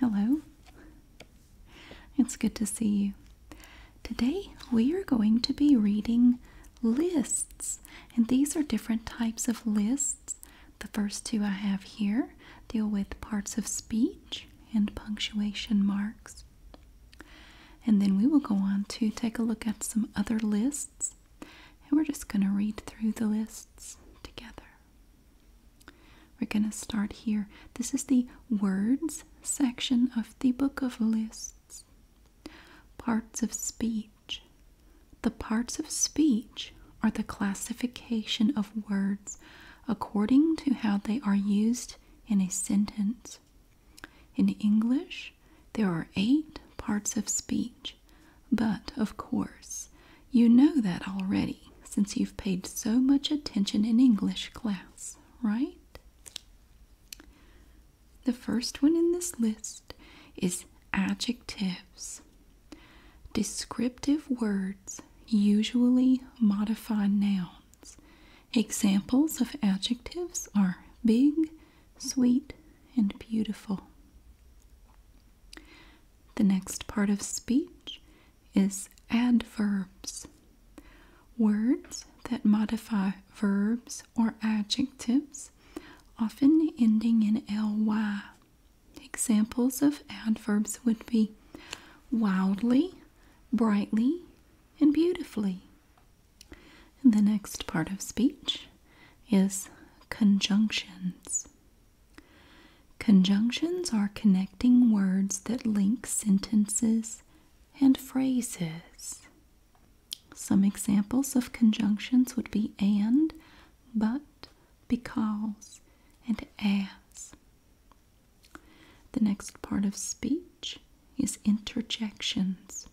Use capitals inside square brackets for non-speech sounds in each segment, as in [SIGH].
Hello. It's good to see you. Today we are going to be reading lists, and these are different types of lists. The first two I have here deal with parts of speech and punctuation marks. And then we will go on to take a look at some other lists, and we're just going to read through the list together. We're going to start here. This is the words section of the book of lists. Parts of speech. The parts of speech are the classification of words according to how they are used in a sentence. In English, there are eight parts of speech. But, of course, you know that already since you've paid so much attention in English class, right? The first one in this list is adjectives. Descriptive words usually modify nouns. Examples of adjectives are big, sweet, and beautiful. The next part of speech is adverbs. Words that modify verbs or adjectives, often ending in ly. Examples of adverbs would be wildly, brightly, and beautifully. the next part of speech is conjunctions. Conjunctions are connecting words that link sentences and phrases. Some examples of conjunctions would be and, but, because, and as. The next part of speech is interjections,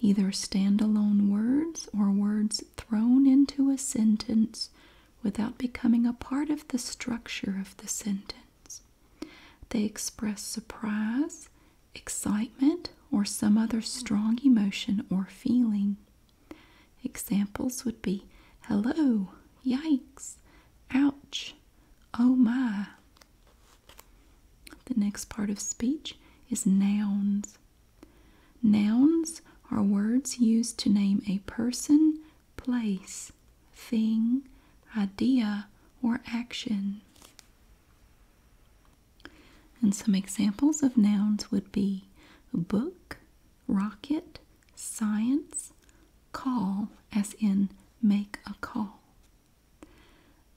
either standalone words or words thrown into a sentence without becoming a part of the structure of the sentence. They express surprise, excitement, or some other strong emotion or feeling. Examples would be hello, yikes, ouch, oh my. The next part of speech is nouns. Nouns are words used to name a person, place, thing, idea, or action. And some examples of nouns would be book, rocket, science, call, as in make a call.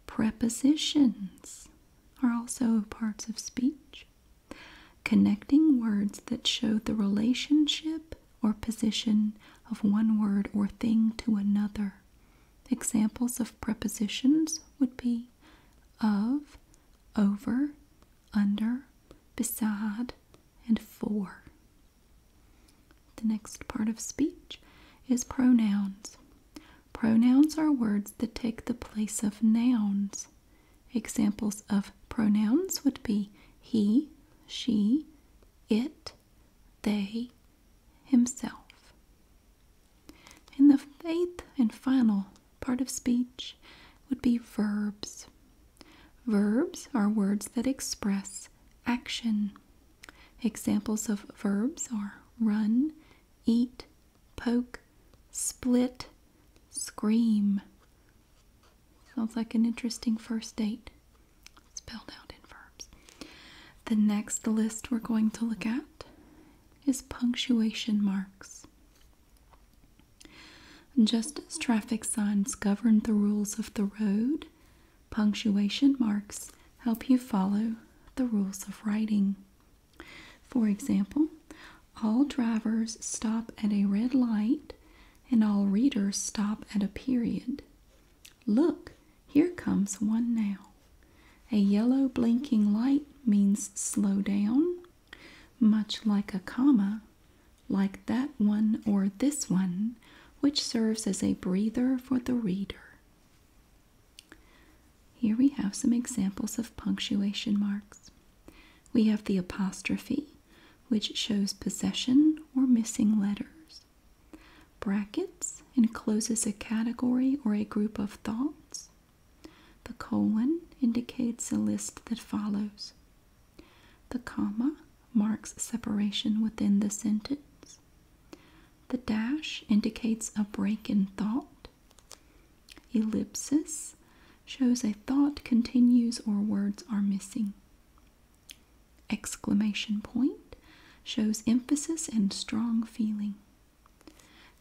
Prepositions are also parts of speech. Connecting words that show the relationship or position of one word or thing to another. Examples of prepositions would be of, over, under, beside, and for. The next part of speech is pronouns. Pronouns are words that take the place of nouns. Examples of pronouns would be he, she, it, they, himself. In the eighth and final part of speech would be verbs. Verbs are words that express action. Examples of verbs are run, eat, poke, split, scream. Sounds like an interesting first date spelled out in verbs. The next list we're going to look at is punctuation marks. Just as traffic signs govern the rules of the road, punctuation marks help you follow the rules of writing. For example, all drivers stop at a red light and all readers stop at a period. Look, here comes one now. A yellow blinking light means slow down, much like a comma, like that one or this one, which serves as a breather for the reader. Here we have some examples of punctuation marks. We have the apostrophe, which shows possession or missing letters. Brackets encloses a category or a group of thoughts. The colon indicates a list that follows. The comma marks separation within the sentence. The dash indicates a break in thought. Ellipsis shows a thought continues or words are missing. Exclamation point shows emphasis and strong feeling.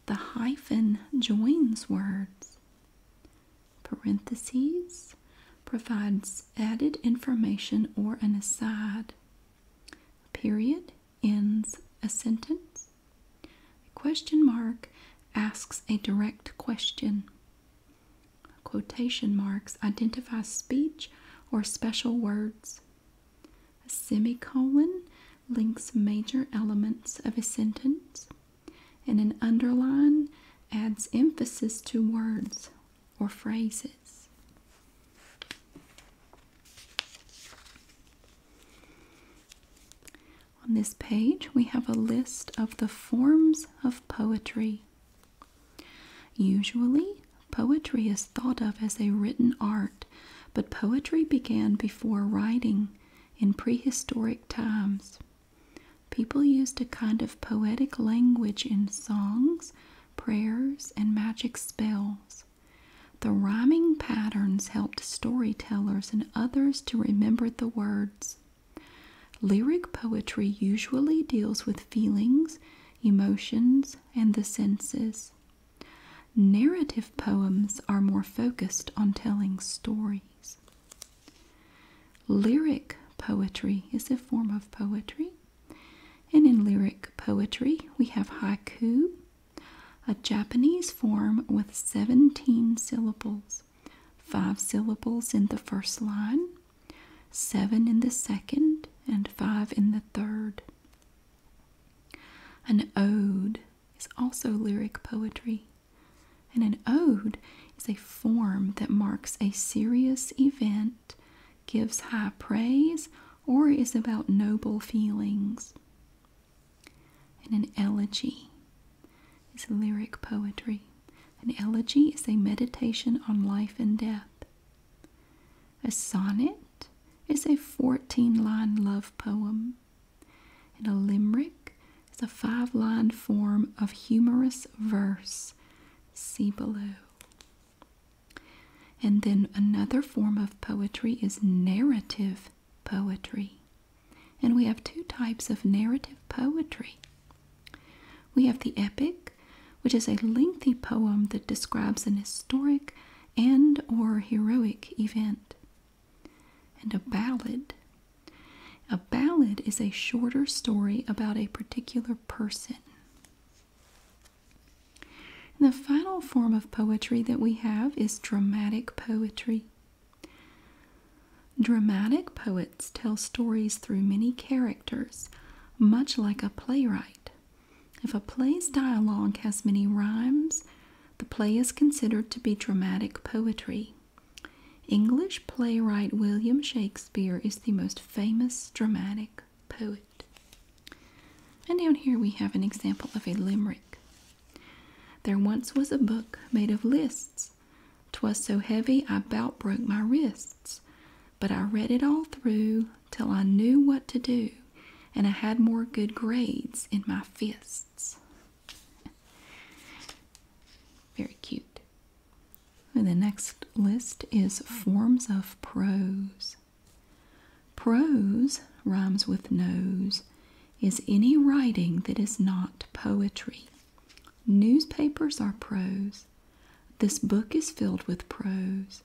The hyphen joins words. Parentheses provides added information or an aside. Period ends a sentence. The question mark asks a direct question. Quotation marks identify speech or special words. A semicolon links major elements of a sentence, and an underline adds emphasis to words or phrases. On this page, we have a list of the forms of poetry. Usually, poetry is thought of as a written art, but poetry began before writing in prehistoric times. People used a kind of poetic language in songs, prayers, and magic spells. The rhyming patterns helped storytellers and others to remember the words. Lyric poetry usually deals with feelings, emotions, and the senses. Narrative poems are more focused on telling stories. Lyric poetry is a form of poetry. And in lyric poetry, we have haiku, a Japanese form with 17 syllables, 5 syllables in the first line, 7 in the second, and 5 in the third. An ode is also lyric poetry, and an ode is a form that marks a serious event, gives high praise, or is about noble feelings. And an elegy is lyric poetry. An elegy is a meditation on life and death. A sonnet is a 14 line love poem. And a limerick is a five line form of humorous verse. See below. And then another form of poetry is narrative poetry. And we have two types of narrative poetry. We have the epic, which is a lengthy poem that describes an historic and or heroic event. And a ballad. A ballad is a shorter story about a particular person. the final form of poetry that we have is dramatic poetry. Dramatic poets tell stories through many characters, much like a playwright. If a play's dialogue has many rhymes, the play is considered to be dramatic poetry. English playwright William Shakespeare is the most famous dramatic poet. And down here we have an example of a limerick. There once was a book made of lists. 'Twas so heavy I bout broke my wrists. But I read it all through till I knew what to do, and I had more good grades in my fists. [LAUGHS] Very cute. And the next list is forms of prose. Prose rhymes with nose, is any writing that is not poetry. Newspapers are prose. This book is filled with prose.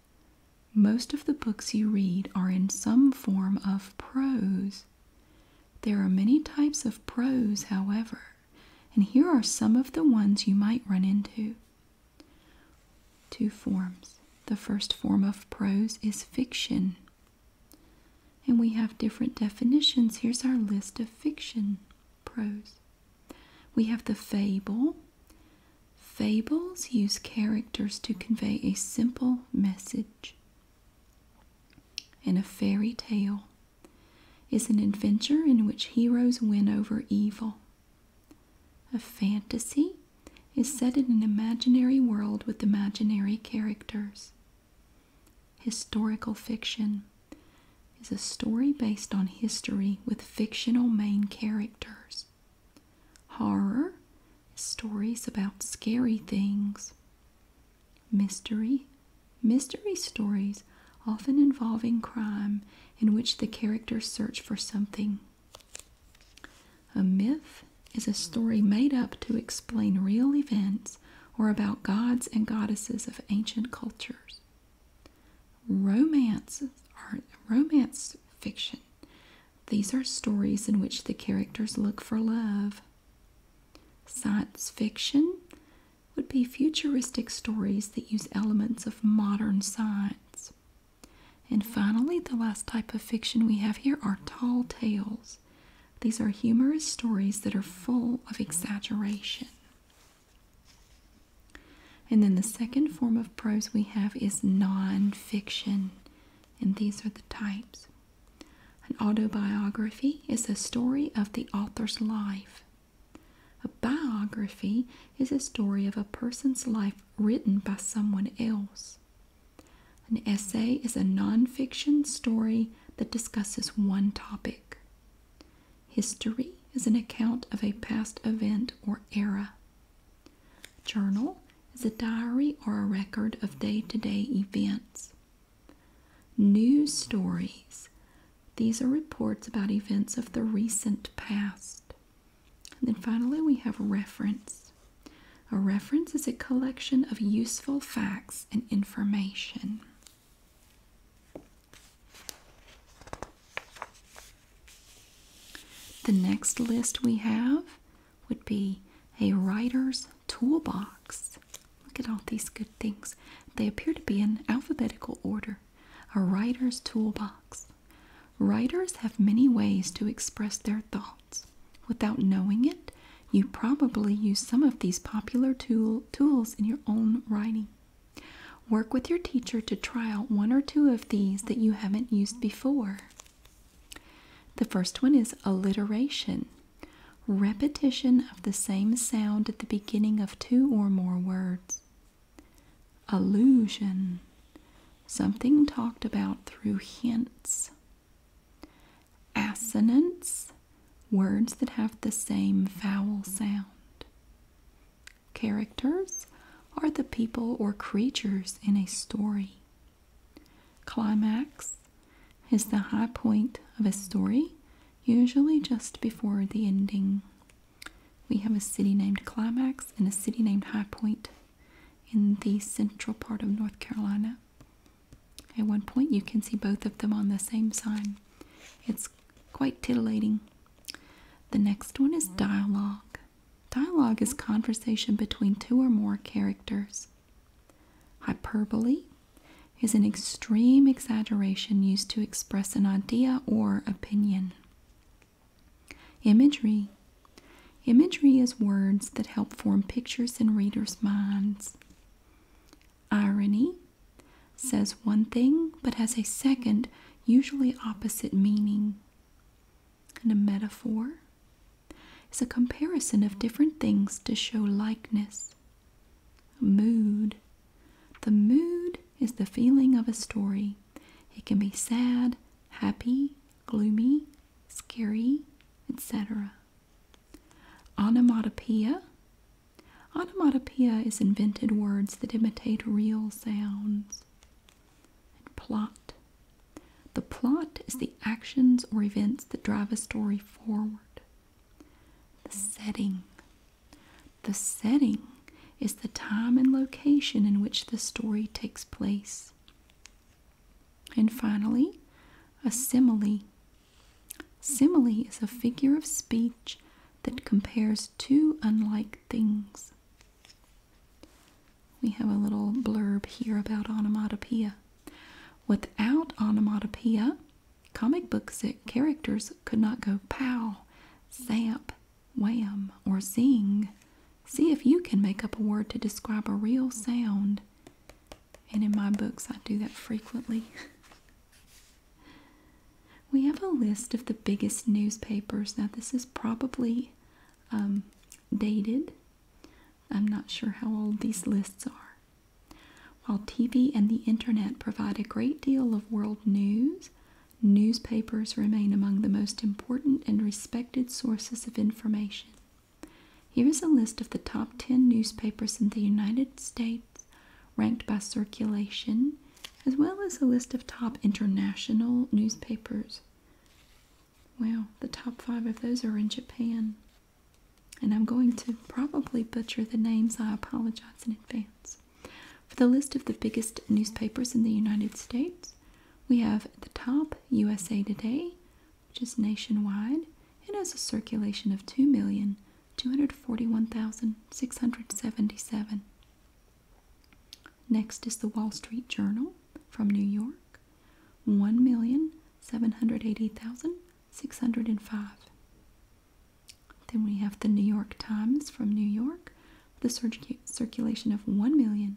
Most of the books you read are in some form of prose. There are many types of prose, however, and here are some of the ones you might run into. Two forms. The first form of prose is fiction. And we have different definitions. Here's our list of fiction prose. We have the fable. Fables use characters to convey a simple message. And a fairy tale is an adventure in which heroes win over evil. A fantasy is set in an imaginary world with imaginary characters. Historical fiction is a story based on history with fictional main characters. Horror is stories about scary things. Mystery mystery stories often involving crime in which the characters search for something a myth is a story made up to explain real events or about gods and goddesses of ancient cultures. Romances are romance fiction. These are stories in which the characters look for love. Science fiction would be futuristic stories that use elements of modern science. And finally, the last type of fiction we have here are tall tales. These are humorous stories that are full of exaggeration. And then the second form of prose we have is nonfiction, and these are the types. An autobiography is a story of the author's life. A biography is a story of a person's life written by someone else. An essay is a nonfiction story that discusses one topic. History is an account of a past event or era. Journal is a diary or a record of day to day events. News stories. These are reports about events of the recent past. then finally, we have reference. A reference is a collection of useful facts and information. The next list we have would be a writer's toolbox. Look at all these good things. They appear to be in alphabetical order. A writer's toolbox. Writers have many ways to express their thoughts. Without knowing it, you probably use some of these popular tools in your own writing. Work with your teacher to try out one or two of these that you haven't used before. The first one is alliteration. Repetition of the same sound at the beginning of two or more words. Allusion. Something talked about through hints. Assonance, words that have the same vowel sound. Characters are the people or creatures in a story. Climax is the high point of a story, usually just before the ending. We have a city named Climax and a city named High Point in the central part of North Carolina. At one point, you can see both of them on the same sign. It's quite titillating. The next one is dialogue. Dialogue is conversation between two or more characters. Hyperbole is an extreme exaggeration used to express an idea or opinion. Imagery Imagery is words that help form pictures in readers' minds. Irony says one thing but has a second, usually opposite meaning. And a metaphor is a comparison of different things to show likeness. Mood. The mood is the feeling of a story. It can be sad, happy, gloomy, scary, etc. Onomatopoeia. Onomatopoeia is invented words that imitate real sounds. plot. The plot is the actions or events that drive a story forward. The setting. The setting is the time and location in which the story takes place. And finally, a simile. Simile is a figure of speech that compares two unlike things. We have a little blurb here about onomatopoeia. Without onomatopoeia, comic book eh, characters could not go pow, zap, wham, or zing. See if you can make up a word to describe a real sound. And in my books, I do that frequently. [LAUGHS] we have a list of the biggest newspapers. Now, this is probably um, dated. I'm not sure how old these lists are. While TV and the internet provide a great deal of world news, newspapers remain among the most important and respected sources of information. Here is a list of the top 10 newspapers in the United States ranked by circulation, as well as a list of top international newspapers. Well, the top five of those are in Japan. And I'm going to probably butcher the names, I apologize in advance. For the list of the biggest newspapers in the United States, we have the top USA Today, which is nationwide and has a circulation of 2,241,677. Next is the Wall Street Journal from New York, 1,780,605. Then we have the New York Times from New York, with a circulation of 1,000,000.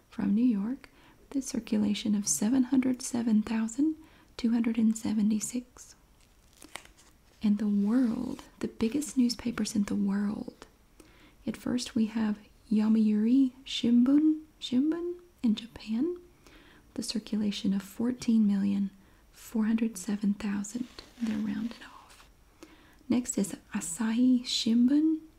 from New York with a circulation of 707,276. And the world, the biggest newspapers in the world. At first, we have Yomiuri Shimbun, Shimbun in Japan, the circulation of 14,407,000. They're rounded off. Next is Asahi Shimbun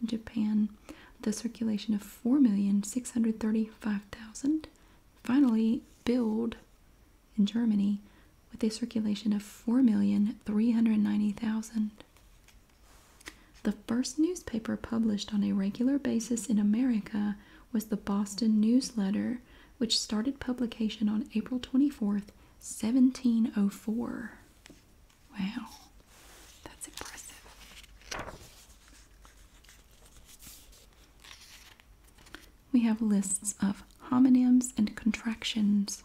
in Japan the circulation of 4,635,000. Finally, Build in Germany with a circulation of 4,390,000. The first newspaper published on a regular basis in America was the Boston Newsletter, which started publication on April 24, 1704. Wow, that's impressive. We have lists of homonyms and contractions.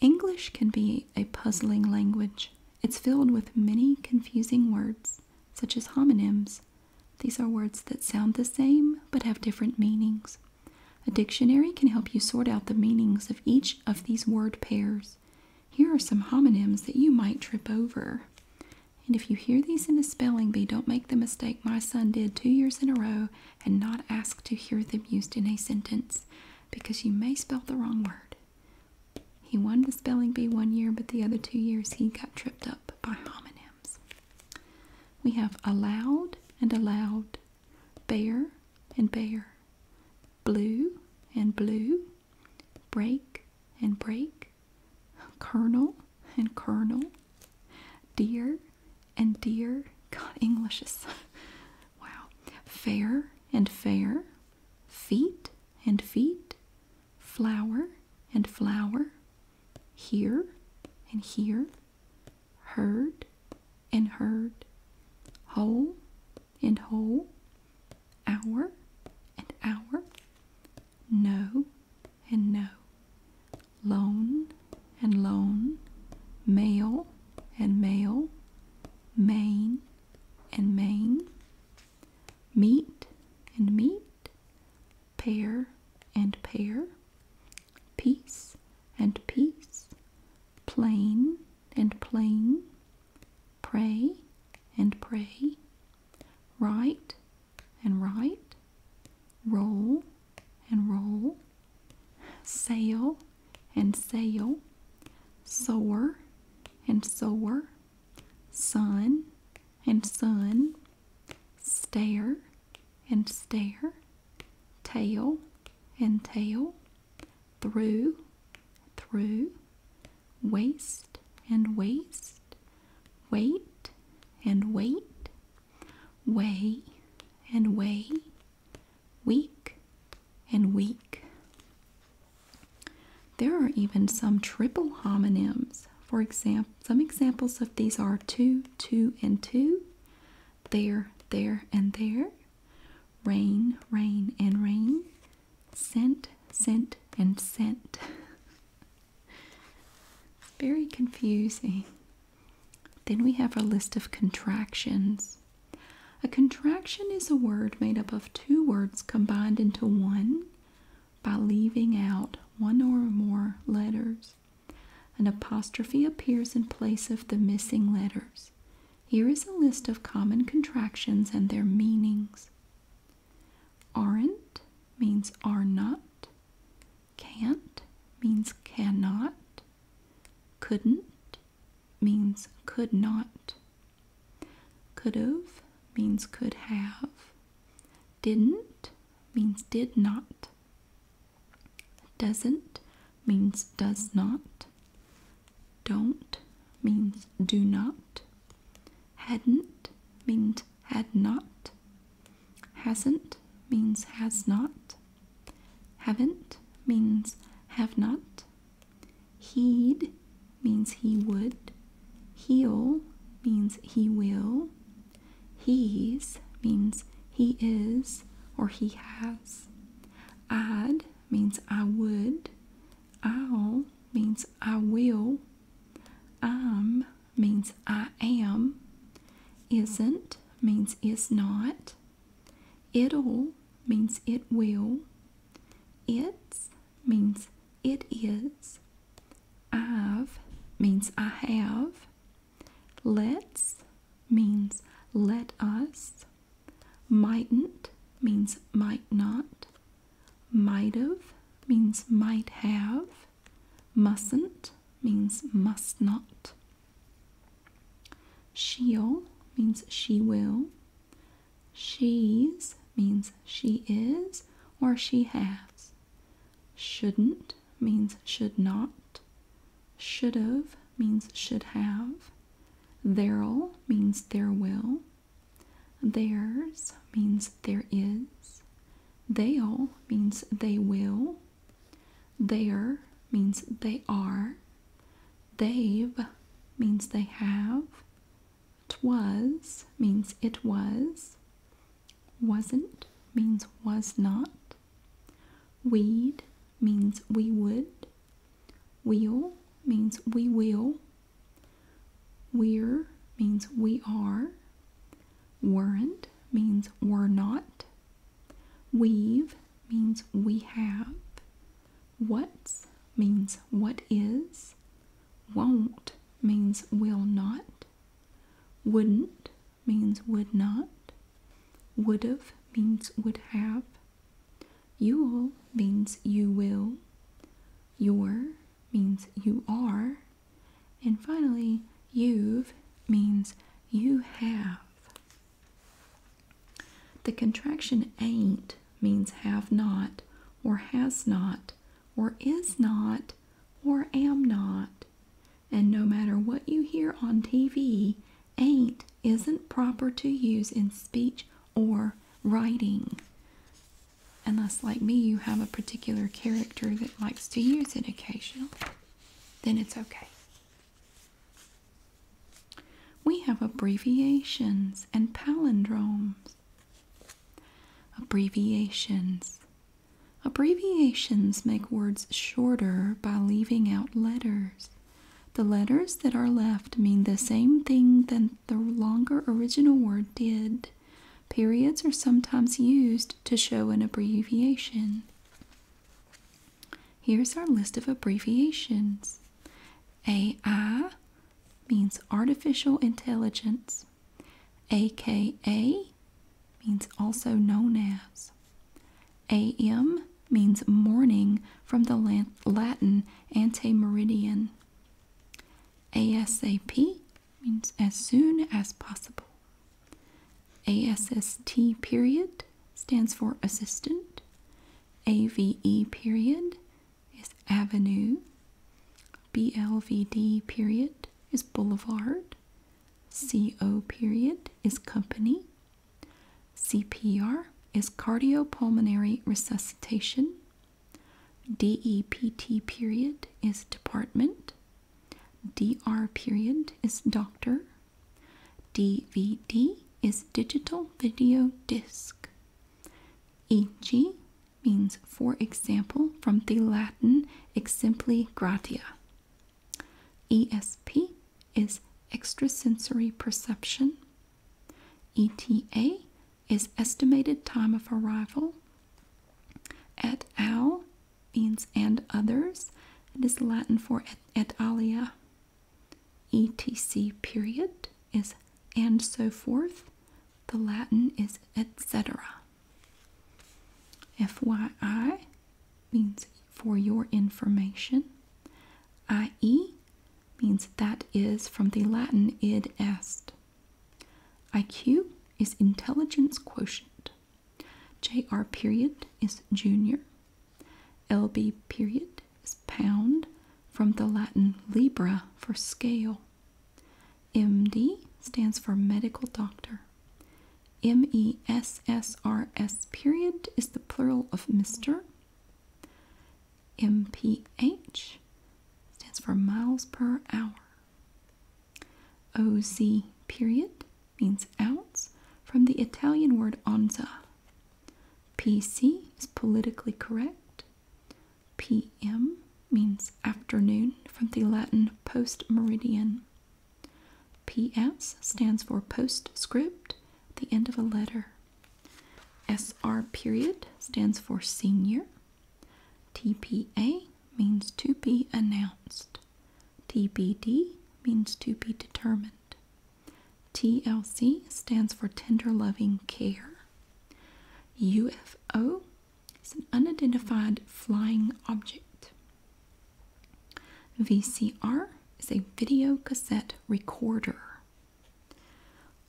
English can be a puzzling language. It's filled with many confusing words, such as homonyms. These are words that sound the same but have different meanings. A dictionary can help you sort out the meanings of each of these word pairs. Here are some homonyms that you might trip over. And if you hear these in a spelling bee, don't make the mistake my son did two years in a row and not ask to hear them used in a sentence because you may spell the wrong word. He won the spelling bee one year, but the other two years he got tripped up by homonyms. We have allowed and allowed, bear and bear, blue and blue, break and break, kernel and kernel, dear and dear, God, Englishes, [LAUGHS] wow. Fair and fair, feet and feet, flower and flower, here and here, heard and heard, whole and whole, hour and hour, no and no, lone and lone, male and male, main and main, meat and meat, pair and pair, peace, and peace, plain and plain, Pray and pray. Write and write. Roll and roll. Sail and sail. Soar and soar. Sun and sun. Stare and stare. Tail and tail through, through, waste and waste, wait and wait, way and way, weak and weak. There are even some triple homonyms. For example, some examples of these are two, two, and two, there, there, and there, Rain, rain, and rain. sent, sent, and sent. very confusing. Then we have our list of contractions. A contraction is a word made up of two words combined into one by leaving out one or more letters. An apostrophe appears in place of the missing letters. Here is a list of common contractions and their meanings. Aren't means are not. Can't means cannot. Couldn't means could not. Could've means could have. Didn't means did not. Doesn't means does not. Don't means do not. Hadn't means had not. Hasn't means has not. Haven't means have not. He'd means he would. He'll means he will. He's means he is or he has. Add means I would. I'll means I will. I'm um means I am. Isn't means is not. It'll means it will. It's means it is. I've means I have. Let's means let us. Mightn't means might not. Might've means might have. Mustn't means must not. She'll means she will. She's means she is or she has. Shouldn't means should not. Should've means should have. There'll means there will. Theirs means there is. They'll means they will. There means they are. They've means they have. Twas means it was. Wasn't means was not. we'd means we would. We'll means we will. We're means we are. Weren't means we're not. We've means we have. What's means what is. Won't means will not. Wouldn't means would not. Would've means would have. You'll means you will. Your means you are. And finally, you've means you have. The contraction ain't means have not, or has not, or is not, or am not. And no matter what you hear on TV, ain't isn't proper to use in speech or writing. Unless, like me, you have a particular character that likes to use it occasionally, then it's okay. We have abbreviations and palindromes. Abbreviations. Abbreviations make words shorter by leaving out letters. The letters that are left mean the same thing that the longer original word did. Periods are sometimes used to show an abbreviation. Here's our list of abbreviations. AI means artificial intelligence. AKA means also known as. AM means morning from the Latin ante meridian. ASAP means as soon as possible. ASST period stands for assistant. AVE period is avenue. BLVD period is boulevard. CO period is company. CPR is cardiopulmonary resuscitation. DEPT period is department. DR period is doctor. DVD is digital video disc. EG means for example from the Latin exempli gratia. ESP is extrasensory perception. ETA is estimated time of arrival. Et al means and others. It is Latin for et, alia. ETC period is and so forth. The Latin is etc. FYI means for your information. I.e. means that is from the Latin id est. IQ is intelligence quotient. J.R. period is junior. LB period is pound from the Latin libra for scale. MD stands for medical doctor. MESSRS period is the plural of Mr. MPH stands for miles per hour. OZ period means ounce from the Italian word onza. PC is politically correct. PM means afternoon from the Latin post meridian. PS stands for postscript, the end of a letter. S R period stands for senior. TPA means to be announced. TBD means to be determined. TLC stands for tender loving care. UFO is an unidentified flying object. VCR is a video cassette recorder.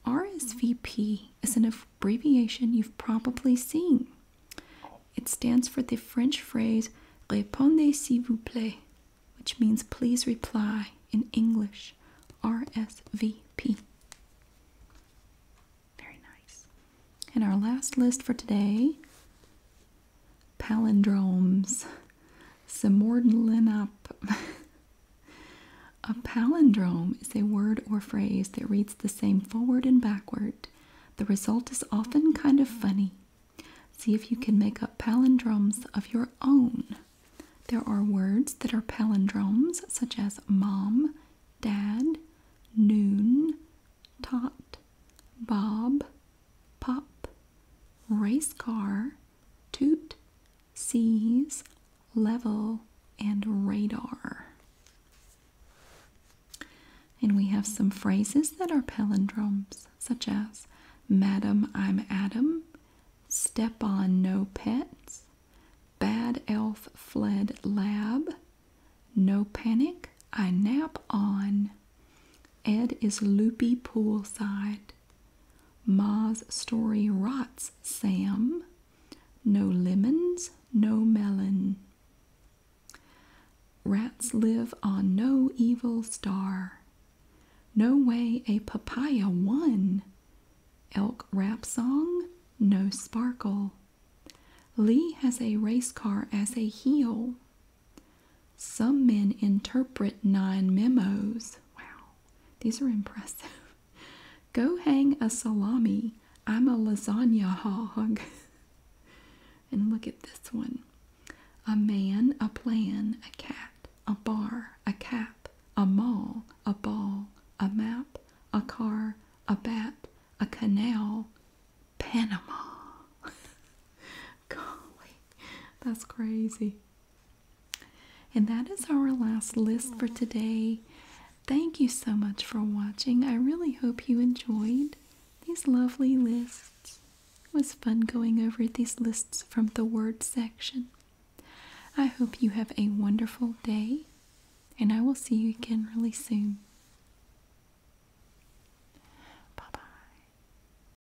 RSVP is an abbreviation you've probably seen. It stands for the French phrase Répondez s'il vous plaît, which means please reply in English. RSVP. Very nice. And our last list for today palindromes, semordlinop. [LAUGHS] a palindrome is a word or phrase that reads the same forward and backward. The result is often kind of funny. See if you can make up palindromes of your own. There are words that are palindromes, such as mom, dad, noon, tot, bob, pop, race car, toot, sees, level, and radar. And we have some phrases that are palindromes, such as Madam, I'm Adam, Step on No Pets, Bad Elf Fled Lab, No Panic, I Nap On, Ed is loopy poolside. Ma's story rots, Sam. No lemons, no melon. Rats live on no evil star. No way a papaya won. Elk rap song, no sparkle. Lee has a race car as a heel. Some men interpret nine memos. Wow, these are impressive. [LAUGHS] Go hang a salami. I'm a lasagna hog. [LAUGHS] and look at this one a man, a plan, a cat, a bar, a cap, a mall, a ball, a map, a car, a bat, a canal, Panama. [LAUGHS] Golly, that's crazy. And that is our last list for today. Thank you so much for watching. I really hope you enjoyed these lovely lists. It was fun going over these lists from the word section. I hope you have a wonderful day, and I will see you again really soon. Bye bye.